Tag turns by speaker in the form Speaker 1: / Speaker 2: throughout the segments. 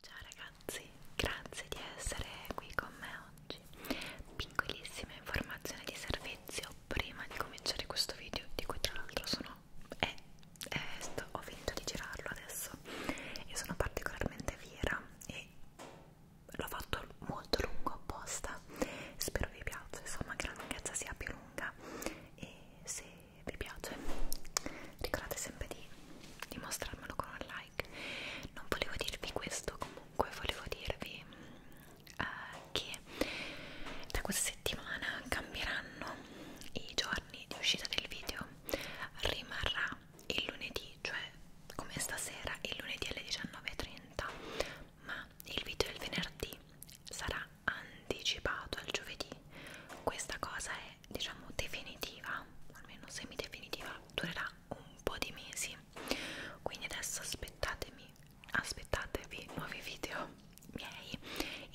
Speaker 1: Ciao ragazzi, grazie di essere qui con me oggi. Piccolissima informazione di servizio prima di cominciare questo video, di cui tra l'altro sono... Eh, eh, sto, ho finito di girarlo adesso e sono particolarmente fiera e l'ho fatto molto lungo apposta spero vi piaccia insomma che la lunghezza sia più lunga e se vi piace ricordate sempre di, di mostrarmelo con un like non volevo dirvi questo comunque volevo dirvi eh, che da questa settimana cambieranno i giorni di uscita del video rimarrà il lunedì cioè come stasera il lunedì alle 19.30 ma il video del venerdì sarà anticipato al giovedì questa cosa è diciamo definitiva almeno semi definitiva durerà un po' di mesi quindi adesso aspettatemi domani aspettatevi nuovi video miei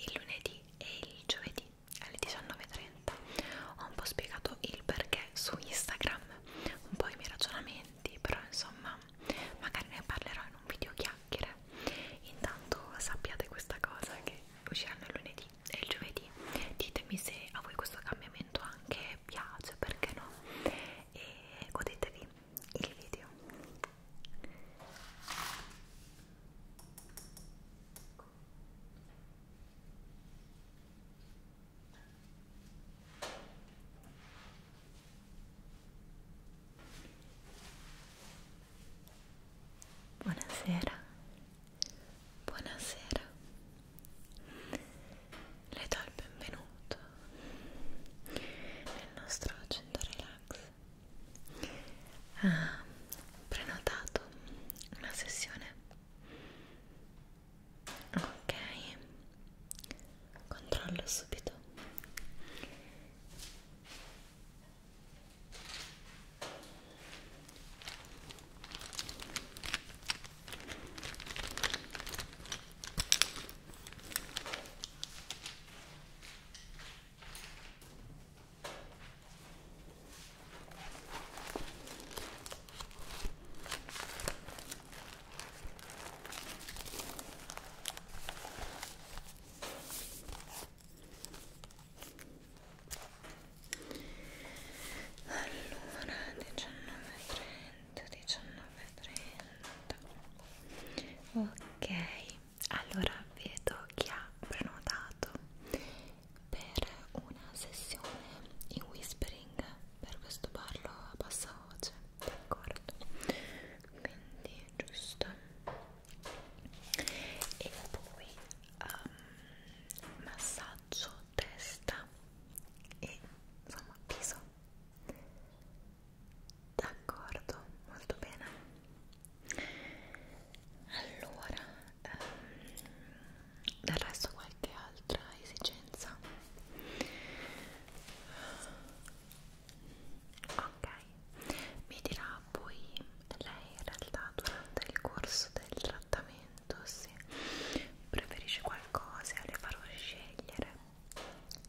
Speaker 1: il lunedì e il giovedì alle 19.30 ho un po' spiegato il perché su Instagram un po' i miei ragionamenti però insomma magari ne parlerò in un video chiacchiere intanto sappiate questa cosa che usciranno il lunedì e il giovedì ditemi se a voi questo cambiamento anche piace perché no e godetevi il video Buonasera, buonasera, le do il benvenuto nel nostro Agenda Relax ha ah, prenotato una sessione ok controllo subito allora 19.30 19.30 ok allora vedo chi ha prenotato per una sessione in whispering per questo parlo a bassa voce d'accordo quindi giusto e poi um, massaggio testa e insomma viso d'accordo, molto bene allora ehm, del resto qualche altra esigenza ok mi dirà poi lei in realtà durante il corso del trattamento se preferisce qualcosa le farò scegliere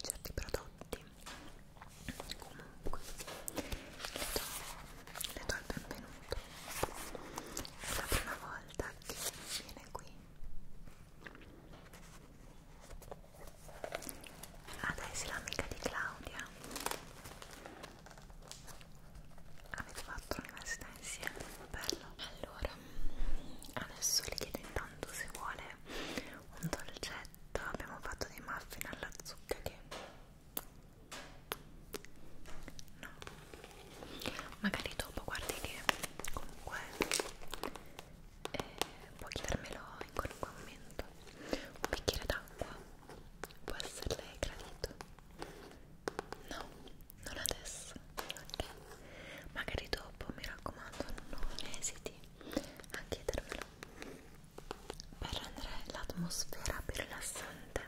Speaker 1: certi prodotti comunque le do, le do il benvenuto è la prima volta che viene qui adesso ah, l'amica di Claudia avete fatto l'università insieme bello allora adesso le chiedo intanto se vuole un dolcetto abbiamo fatto dei muffin alla zucca che no magari dopo guardi che comunque eh, puoi chiedermelo in qualunque momento un bicchiere d'acqua può esserle gradito no non adesso ok magari dopo mi raccomando non esiti a chiedermelo per rendere l'atmosfera più rilassante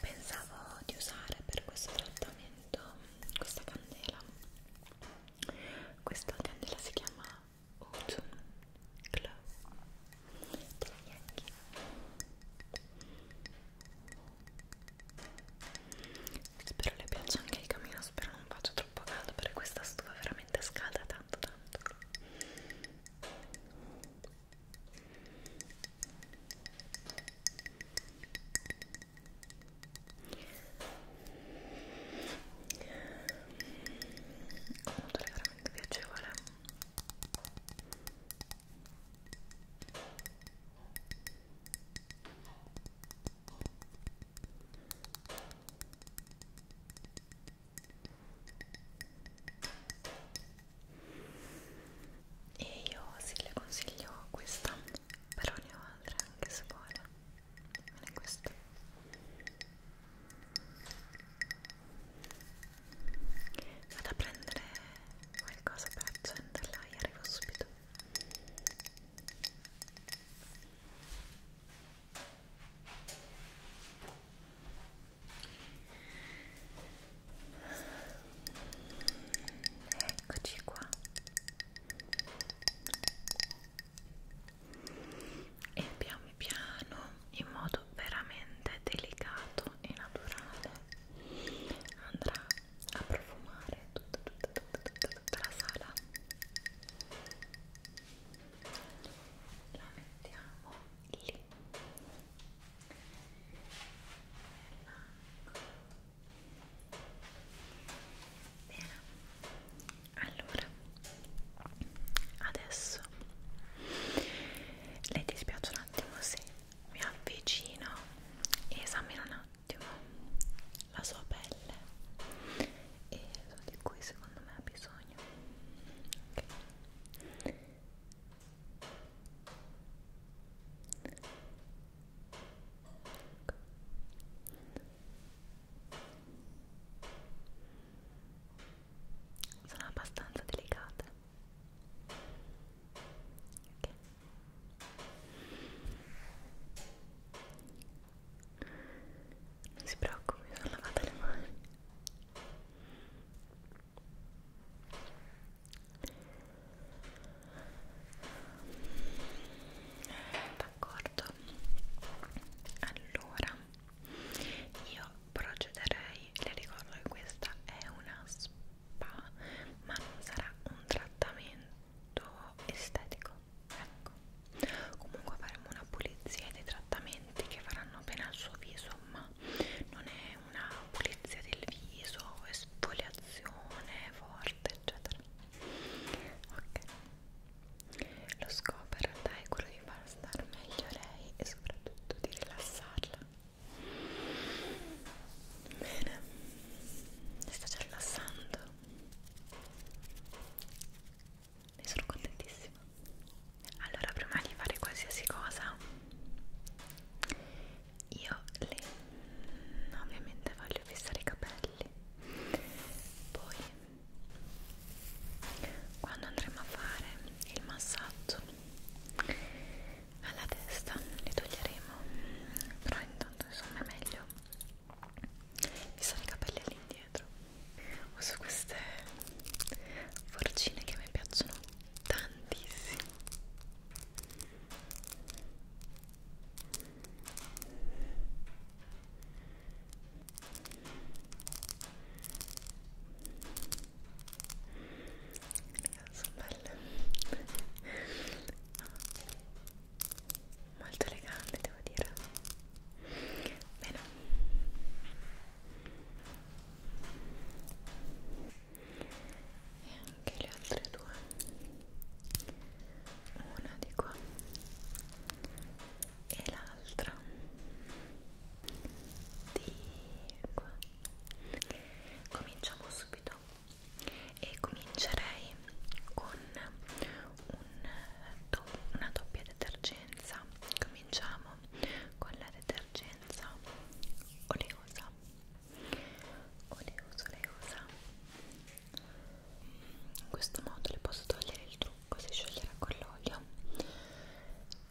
Speaker 1: pensavo di usare per questo trattamento questa candela questa candela si chiama Autumn Glow della Yankee spero le piaccia anche il camino spero non faccia troppo caldo per questa stufa veramente scalda tanto tanto un odore veramente piacevole e io sì le consiglio questa però ne ho altre anche se vuole non è questa vado a prendere qualcosa per accenderla e arrivo subito Eccoci qua. E piano piano, in modo veramente delicato e naturale, andrà a profumare tutta, tutta, tutta, tutta, tutta la sala la mettiamo lì bene allora adesso le dispiace un attimo se mi avvicino e esamino un attimo attimo la sua pelle e di cui secondo me ha bisogno okay. Sono abbastanza delicate. Okay non si preoccupi, mi sono lavata le mani eh, d'accordo allora io procederei le ricordo che questa è una spa ma non sarà un trattamento estetico ecco comunque faremo una pulizia dei trattamenti che faranno bene al suo viso ma non è una pulizia del viso esfoliazione forte eccetera ok lo scopo in realtà è quello di far stare meglio lei e soprattutto di rilassarla bene mi sta già rilassando ne sono contentissima allora prima di fare qualsiasi cosa io le ovviamente voglio fissare i capelli poi quando andremo a fare il massaggio alla testa li toglieremo però intanto insomma è meglio mi sono i capelli all'indietro uso queste forcine che mi piacciono tantissimo sono belle molto elegante devo dire bene e anche le altre due una di qua e l'altra di qua cominciamo subito e comincerei con un, una doppia detergenza cominciamo con la detergenza oleosa oleosa oleosa in questo modo le posso togliere il trucco si scioglierà con l'olio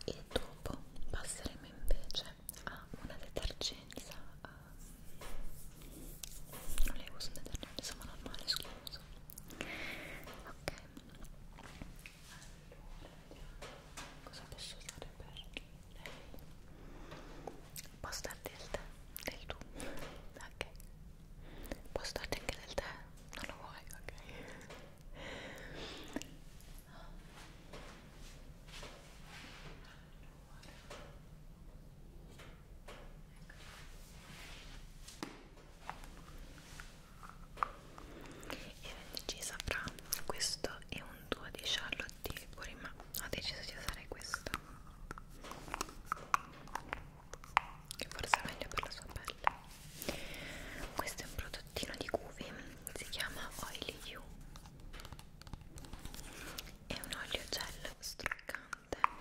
Speaker 1: e dopo passeremo invece a una detergenza ehm, non le uso un detergente insomma normale schiuso ok allora cosa posso usare per lei? può stare del tè del tu ok può starti anche del tè non lo vuoi ok allora e ho indecisa fra questo e un duo di Charlotte Tilbury ma ho deciso di usare questo che forse è meglio per la sua pelle questo è un prodottino di Guvi si chiama Oily You è un olio gel struccante interessante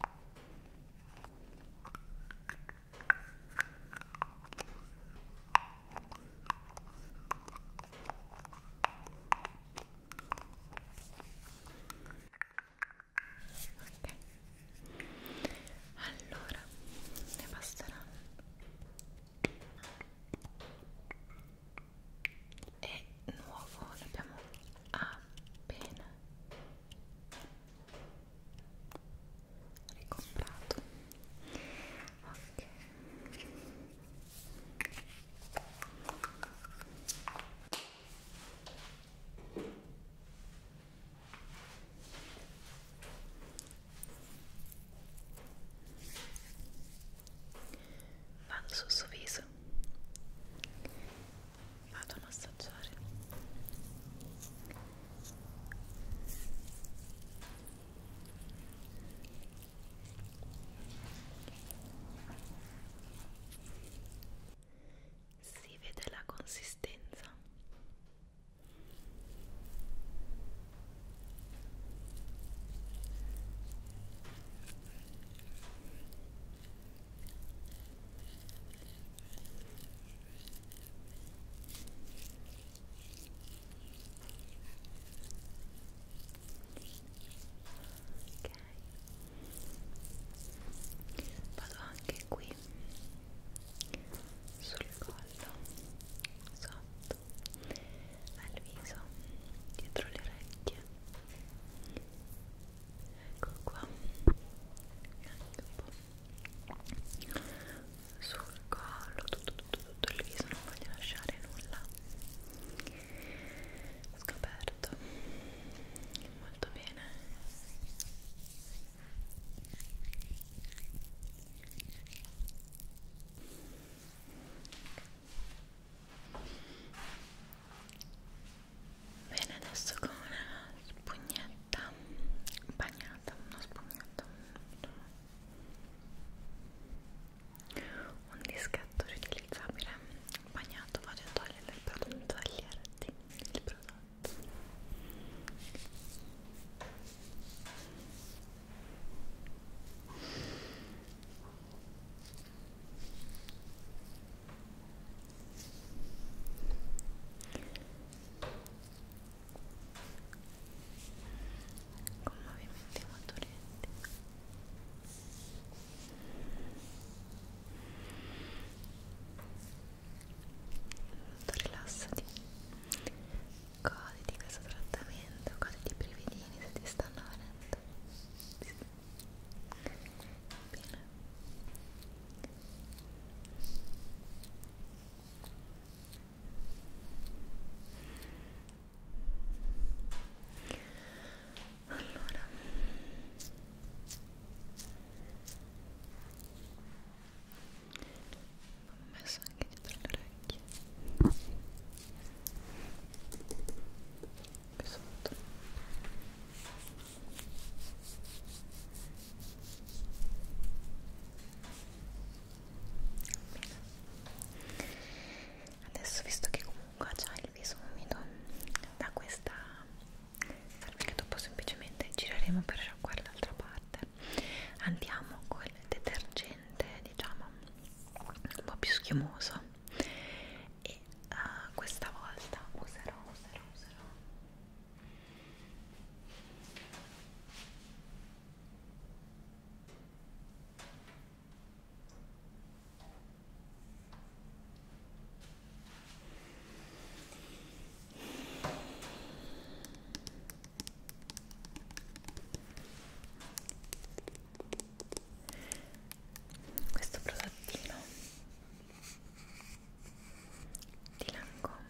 Speaker 1: Okay. Allora, ne basteranno è nuovo l'abbiamo appena ricomprato ok ok vado sul suo viso vado a massaggiare si vede la consistenza Vado anche qui sul collo sotto sotto al viso, dietro le orecchie ecco qua anche un po' sul collo tutto, tutto, tutto il viso non voglio lasciare nulla scoperto molto bene Bene, adesso con una spugnetta bagnata, una spugnetta, un dischetto riutilizzabile bagnato, vado a togliere il prodotto, toglierti il prodotto con movimenti molto lenti molto rilassati goditi questo trattamento goditi i brividini se ti stanno venendo fatto sì. bene allora ho messo anche dalle orecchie qui sotto adesso visto che comunque già il viso umido da questa serve che dopo semplicemente gireremo per qua l'altra parte andiamo col detergente diciamo un po' più schiumoso e uh, questa volta userò, userò, userò questo prodottino di Lancome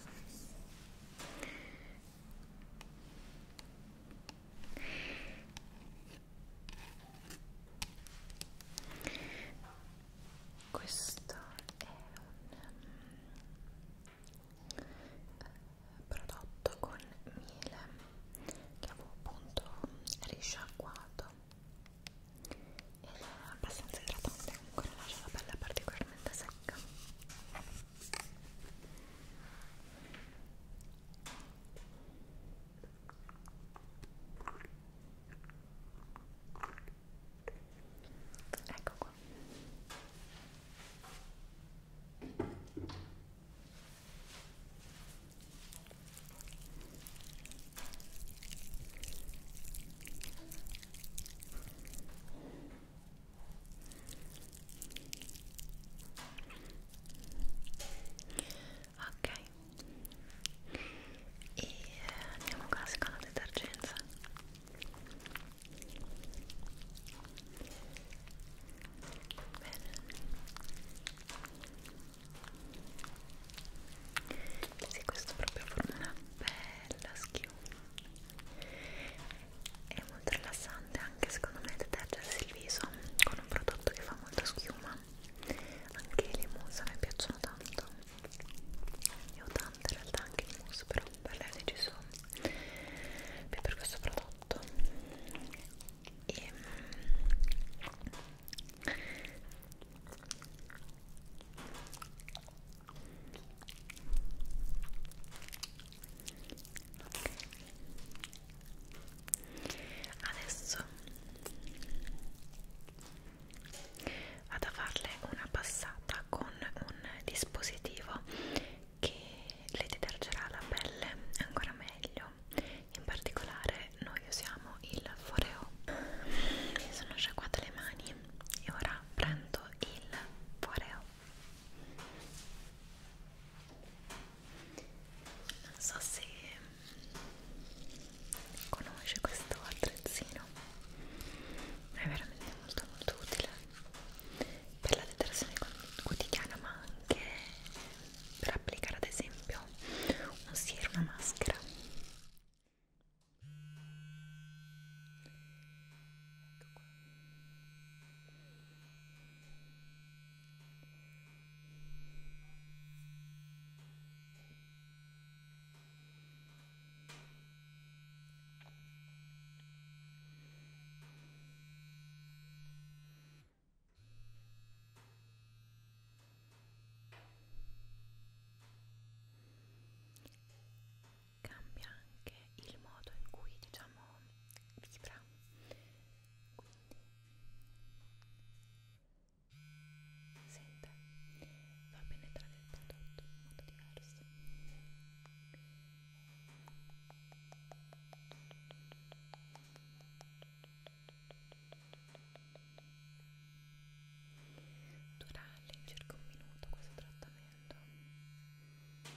Speaker 1: questo è un eh, prodotto con miele che avevo appunto risciacquato ed è abbastanza idratante comunque non lascia la pelle particolarmente secca Ecco qua. Ok, e andiamo con la seconda detergenza Bene. Sì, questo proprio forma una bella schiuma. È molto rilassante anche secondo me detergersi il viso con un prodotto che fa molta schiuma. Anche le mousse mi piacciono tanto. Ne ho tante in realtà anche le mousse, però per lei ho deciso più per questo prodotto e adesso vado a farle una passata con un dispositivo che le detergerà la pelle ancora meglio in particolare noi usiamo il foreo mi sono sciacquate le mani e ora prendo il foreo non so se conosce questo attrezzino è veramente molto molto utile per la detersione quotidiana ma anche per applicare ad esempio un siero, una maschera ecco qua Cambia anche il modo in cui diciamo vibra. Quindi sente, va a penetrare il prodotto in modo diverso. Dura circa un minuto questo trattamento. Ora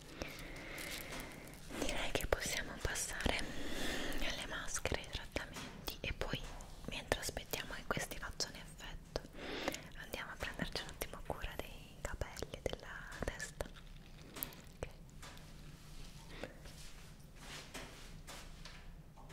Speaker 1: direi che possiamo passare alle maschere ai trattamenti e poi mentre aspettiamo che questi facciano effetto andiamo a prenderci un attimo cura dei capelli della testa okay. Ok,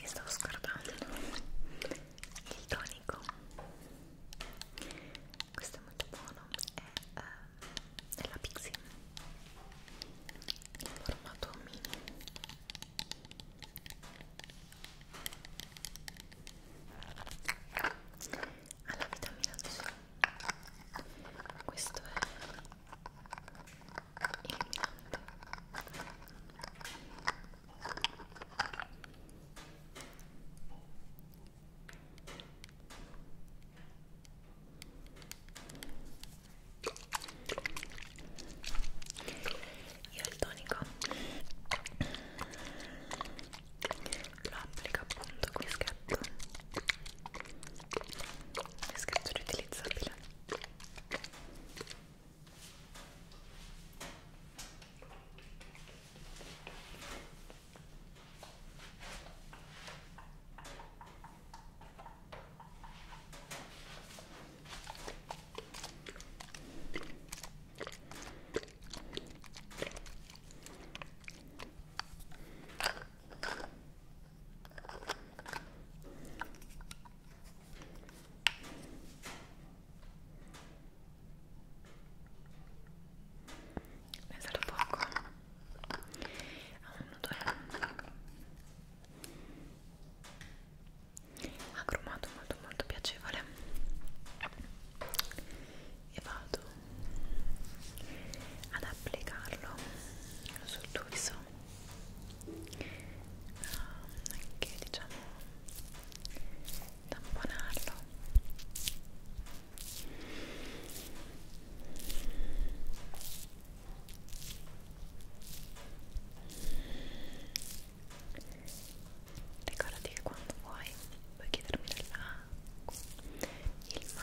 Speaker 1: mi stavo scordando il tonico questo è molto buono è eh, della Pixie in formato mini alla vitamina C questo è illuminante io il tonico lo applico appunto qui scatto è scritto riutilizzabile Pensalo poco a ah, uno, due. Agrumato molto molto piacevole e vado ad applicarlo sul tuo viso anche diciamo tamponarlo Ricordati che quando vuoi puoi chiedermi della il muffin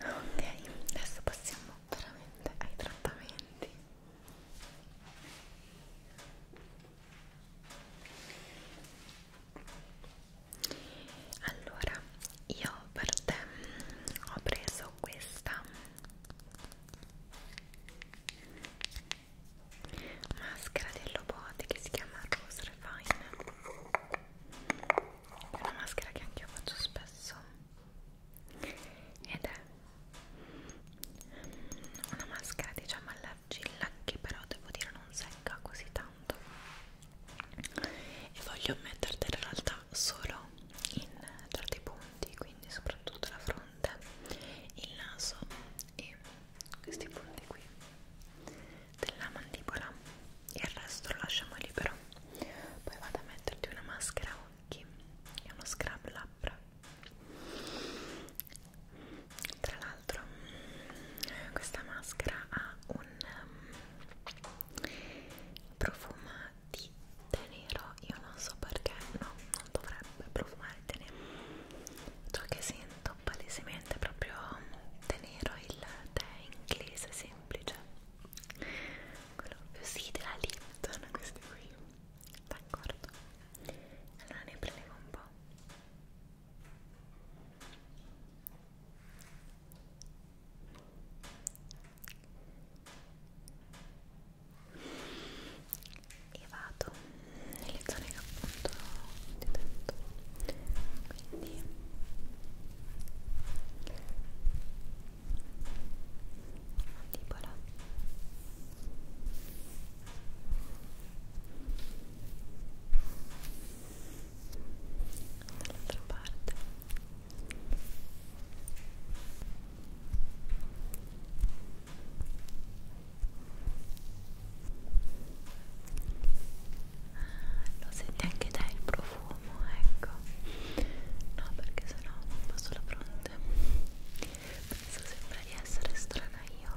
Speaker 1: ok adesso passiamo veramente ai trattamenti allora io per te ho preso questa maschera di Lobote che si chiama Rose Refine è una maschera che anche io faccio spesso ed è una maschera diciamo alla l'argilla che però devo dire non secca così tanto e voglio mettertela in realtà solo in certi punti quindi soprattutto la fronte il naso e questi punti qui della mandibola e il resto lo lasciamo libero poi vado a metterti una maschera occhi e uno scrub labbra tra l'altro questa maschera ha un um, profumo di tè nero io non so perché no, non dovrebbe profumare tè nero ciò che sento palesemente è proprio tè nero il tè inglese semplice quello più sì della Lipton questi qui d'accordo allora ne prendiamo un po' e vado nelle zone che appunto ti ho detto quindi mandibola dall'altra parte ah, lo senti anche te il profumo ecco no perché sennò non passo la fronte penso sembra di essere strana io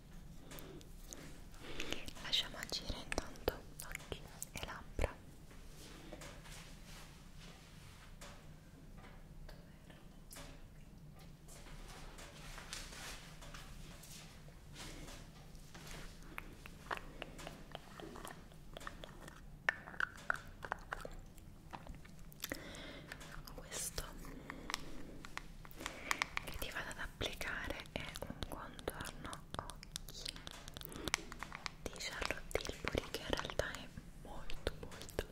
Speaker 1: lasciamo agire intanto occhi e labbra questo che ti vada ad applicare è un contorno occhi di Charlotte Tilbury che in realtà è molto molto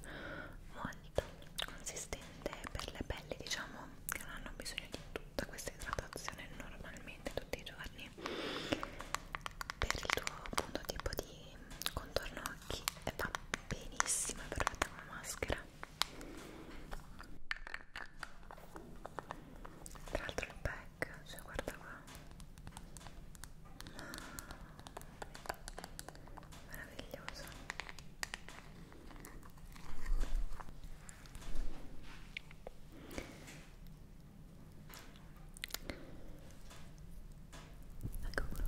Speaker 1: molto consistente per le pelli diciamo che non hanno bisogno di tutta questa idratazione normalmente tutti i giorni per il tuo appunto tipo di contorno occhi e va benissimo è perfetta come maschera tra l'altro il pack cioè guarda qua meraviglioso ecco qua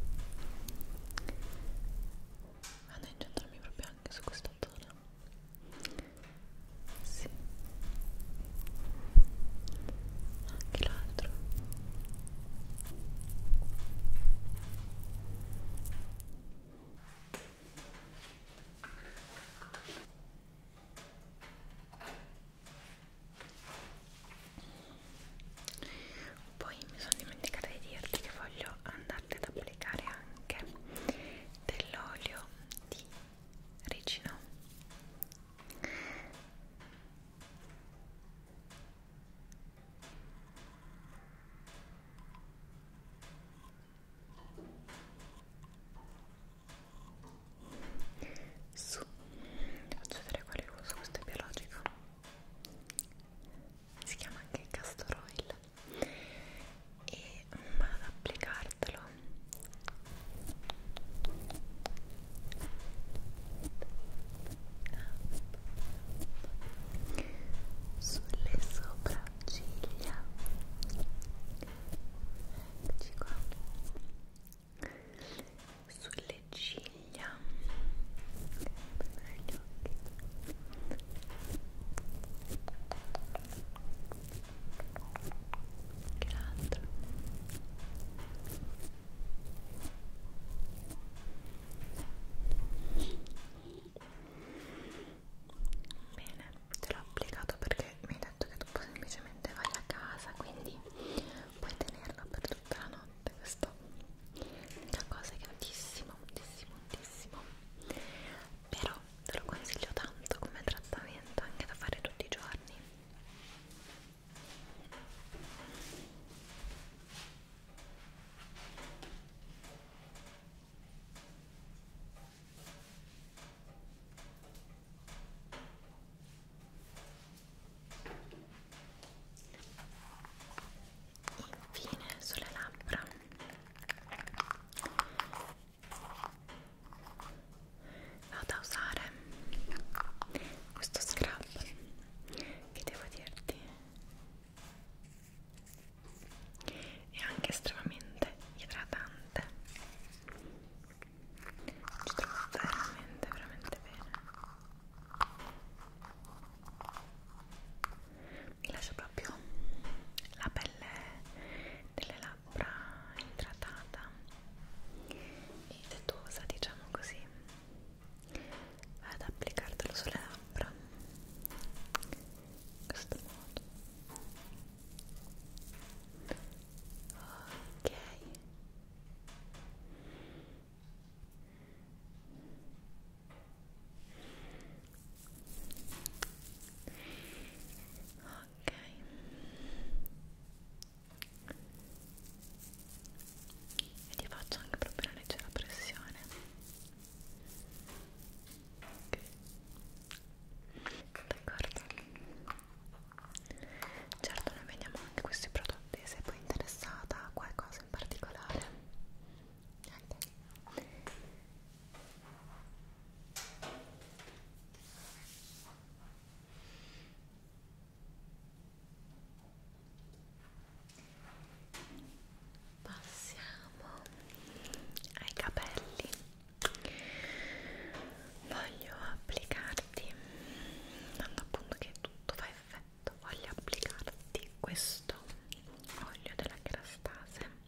Speaker 1: vado a incentrarmi proprio anche su questa zona sì. Anche l'altro. Poi mi sono dimenticata di dirti che voglio andarti ad applicare anche dell'olio di Regina su faccio vedere quale uso questo è biologico si chiama anche castor oil e vado ad applicartelo sulle sopracciglia eccoci qua sulle ciglia gli occhi che l'altro bene te l'ho applicato perché mi hai detto che tu semplicemente vai a casa quindi puoi tenerlo per tutta la notte questo la cosa che moltissimo moltissimo moltissimo però te lo consiglio tanto come trattamento anche da fare tutti i giorni Infine sulle labbra vado a usare questo scrub che devo dirti è anche estremamente idratante ci trovo veramente veramente bene mi lascia proprio la pelle delle labbra idratata e tettuosa diciamo così vado ad applicartelo sulle labbra in questo modo ok ok e ti faccio anche proprio una leggera pressione okay. d'accordo certo noi vediamo anche questi prodotti se poi interessata a qualcosa in particolare niente Passiamo ai capelli. Voglio applicarti, dando appunto che tutto fa effetto, voglio applicarti questo olio della Kerastase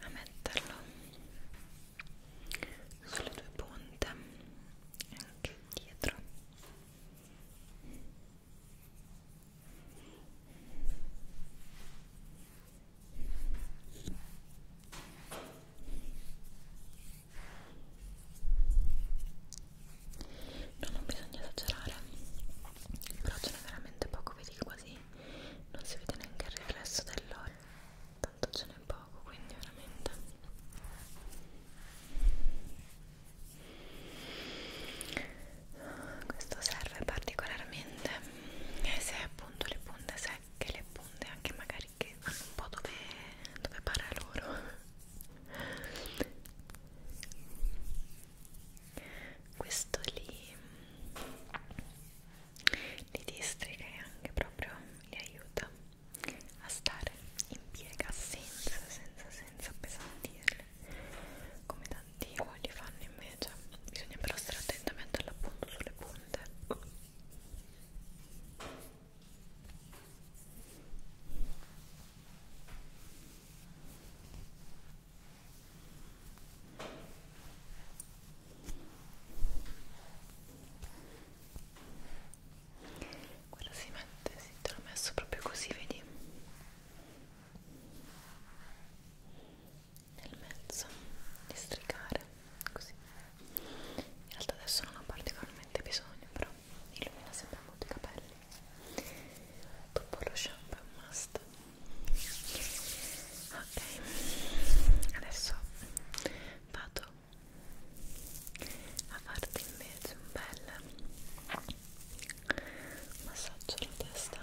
Speaker 1: a metterlo sulle due punte e anche dietro No, non bisogna esagerare, però ce n'è veramente poco poco vedi che quasi non si vede neanche il riflesso dell'olio tanto ce n'è poco quindi veramente questo serve particolarmente eh, se appunto le punte secche le punte anche magari che vanno un po' dove, dove pare loro questo li, li districa e anche proprio li aiuta a stare in piega senza, senza, senza appesantirle come tanti uoli fanno invece bisogna però stare attenti a metterla appunto sulle punte quello si mette, sì, te l'ho messo proprio così, vedi? Nel mezzo, di stricare, così. In realtà adesso non ho particolarmente bisogno, però illumina sempre molto i capelli dopo lo shampoo must ok adesso vado a farti invece un bel massaggio alla testa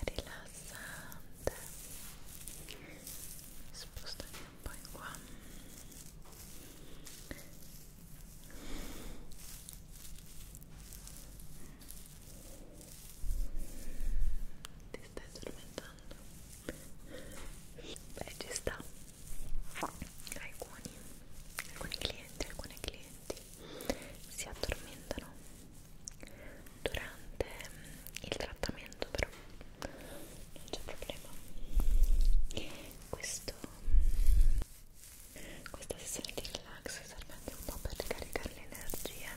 Speaker 1: rilassante spostami un po' in qua ti stai addormentando? Beh, ci sta. Alcuni, alcuni clienti, alcune clienti si addormentano durante mm, il trattamento, però non c'è problema. Questo questa sessione di relax serve anche un po' per ricaricare le energie,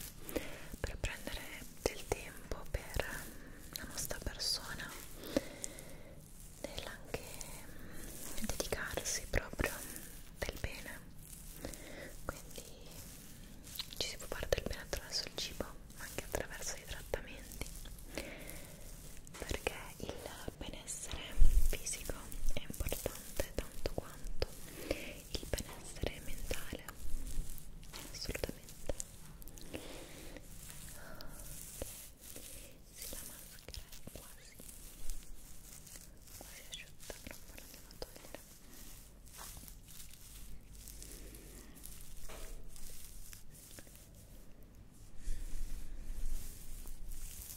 Speaker 1: per prendere del tempo per mm, la nostra persona, nell'anche mm, dedicarsi proprio mm, del bene. Quindi ci si può fare del bene attraverso il cibo, ma anche attraverso i trattamenti perché il benessere fisico è importante tanto quanto il benessere mentale assolutamente sì, la maschera è quasi quasi asciutta però non la andiamo a togliere ok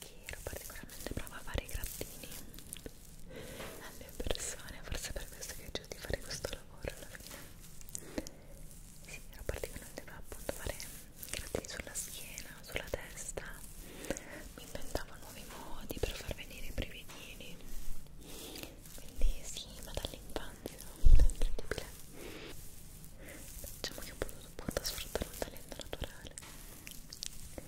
Speaker 1: che ero particolarmente brava a fare i grattini alle persone, forse per questo che ho di fare questo lavoro alla fine sì, ero particolarmente brava appunto a fare i grattini sulla schiena, sulla testa mi inventavo nuovi modi per far venire i brividini quindi sì, ma dall'infanzia è incredibile diciamo che ho potuto appunto sfruttare un talento naturale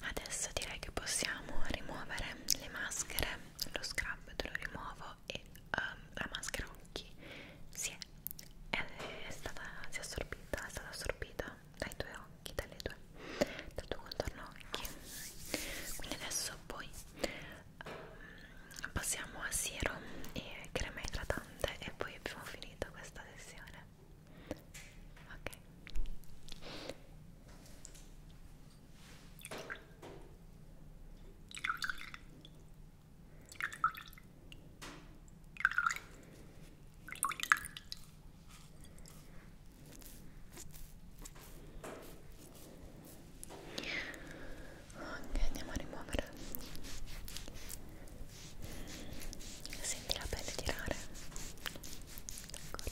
Speaker 1: adesso direi che possiamo rimuovere le maschere lo scrub te lo rimuovo e um, la maschera occhi si è, è, è stata si è assorbita è stata assorbita dai tuoi occhi dalle tue dal tuo contorno occhi quindi adesso poi um, passiamo a serum e crema idratante e poi abbiamo finito questa sessione ok Ok, andiamo a rimuovere. Senti la pelle tirare. D'accordo.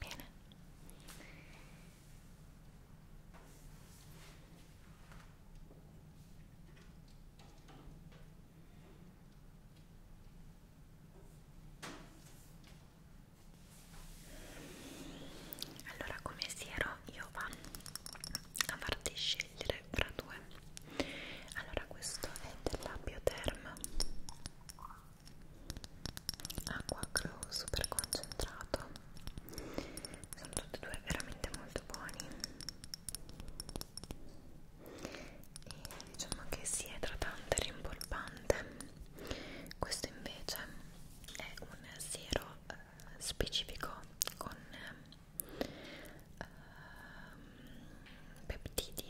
Speaker 1: Bene. Allora, come si ero realtà io vado a farti scegliere fra due allora questo è della Bioterm acqua glow super concentrato sono tutti e due veramente molto buoni e diciamo che sia sì, idratante e rimpolpante questo invece è un siero eh, specifico con eh, uh, peptidi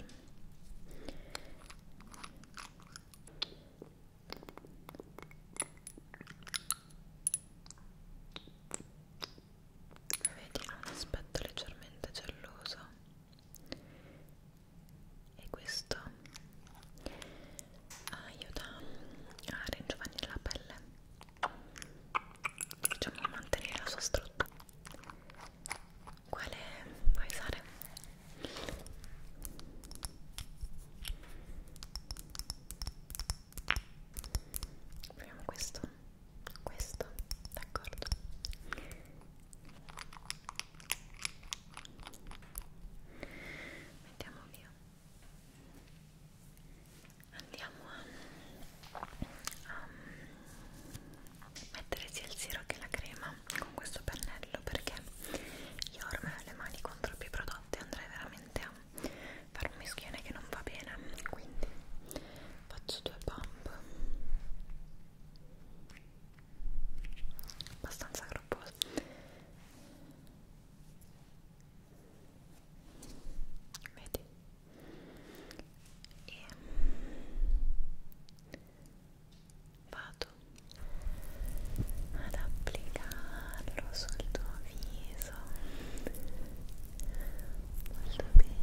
Speaker 1: vedi ha un aspetto leggermente gelloso e questo aiuta a ringiovanire la pelle diciamo a mantenere la sua struttura quale vuoi usare? proviamo questo questo d'accordo mettiamo via andiamo a, a mettere sia il siero che la crema con questo pennello perché io ormai ho le mani con troppi prodotti andrei veramente a fare un mischione che non va bene quindi faccio due pump abbastanza gropposo vedi e mm, vado ad applicarlo sul tuo viso molto bene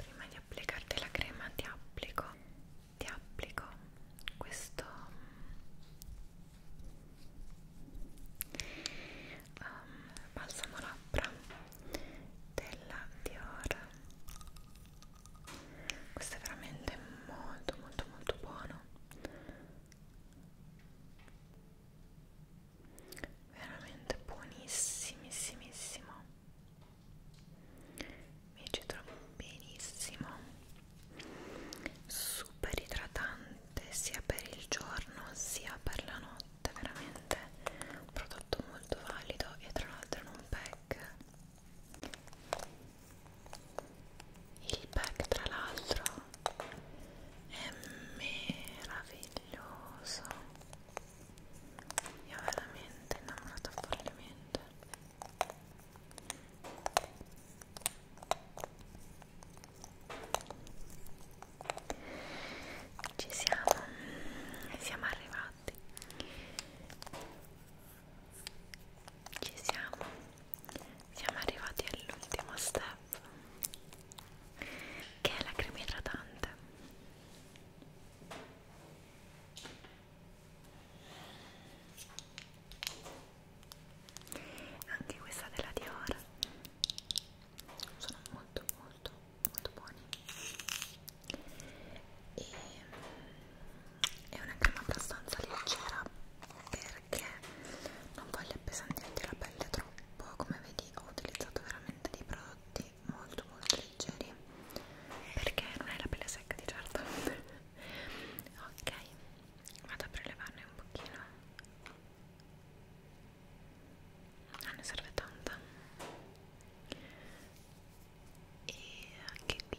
Speaker 1: prima di applicarti la crema ti applico ti applico questo um, balsamo labbra della Dior questo è veramente molto molto molto buono veramente buonissimissimo mi ci trovo benissimo super idratante sia per il giorno sia per la notte veramente un prodotto molto valido e tra l'altro in un pack il pack tra l'altro è meraviglioso io veramente innamorata follemente ci siamo siamo arrivati ci siamo siamo arrivati all'ultimo step che è la crema idratante anche questa della Dior sono molto molto molto buoni e mm, è una crema abbastanza leggera per perché non voglio appesantirti la pelle troppo come vedi ho utilizzato veramente dei prodotti molto molto leggeri perché non hai la pelle secca di certo ok vado a prelevarne un pochino non ah, ne serve tanta e anche qui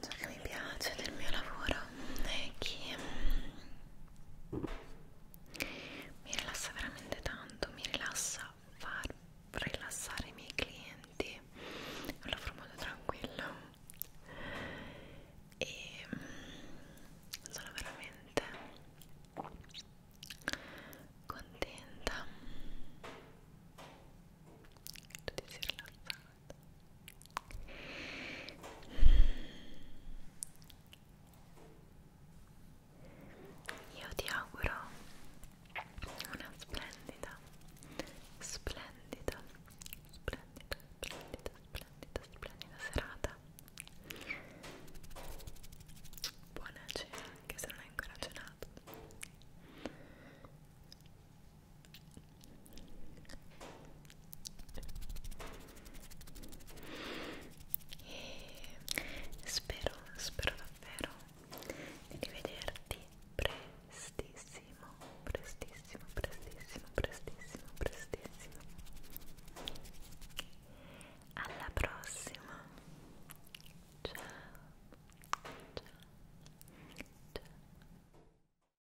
Speaker 1: ciò che mi piace del mio lavoro è che mm, mi rilassa veramente tanto, mi rilassa far rilassare i miei clienti, è un lavoro molto tranquillo e mm, sono veramente contenta tutti si rilassano io ti auguro una splendida, splendida, splendida, splendida, splendida, splendida serata. Buona cena, anche se non hai ancora cenato e spero, spero davvero di rivederti prestissimo, prestissimo, prestissimo, prestissimo, prestissimo. Alla prossima. Ciao. Ciao. Ciao.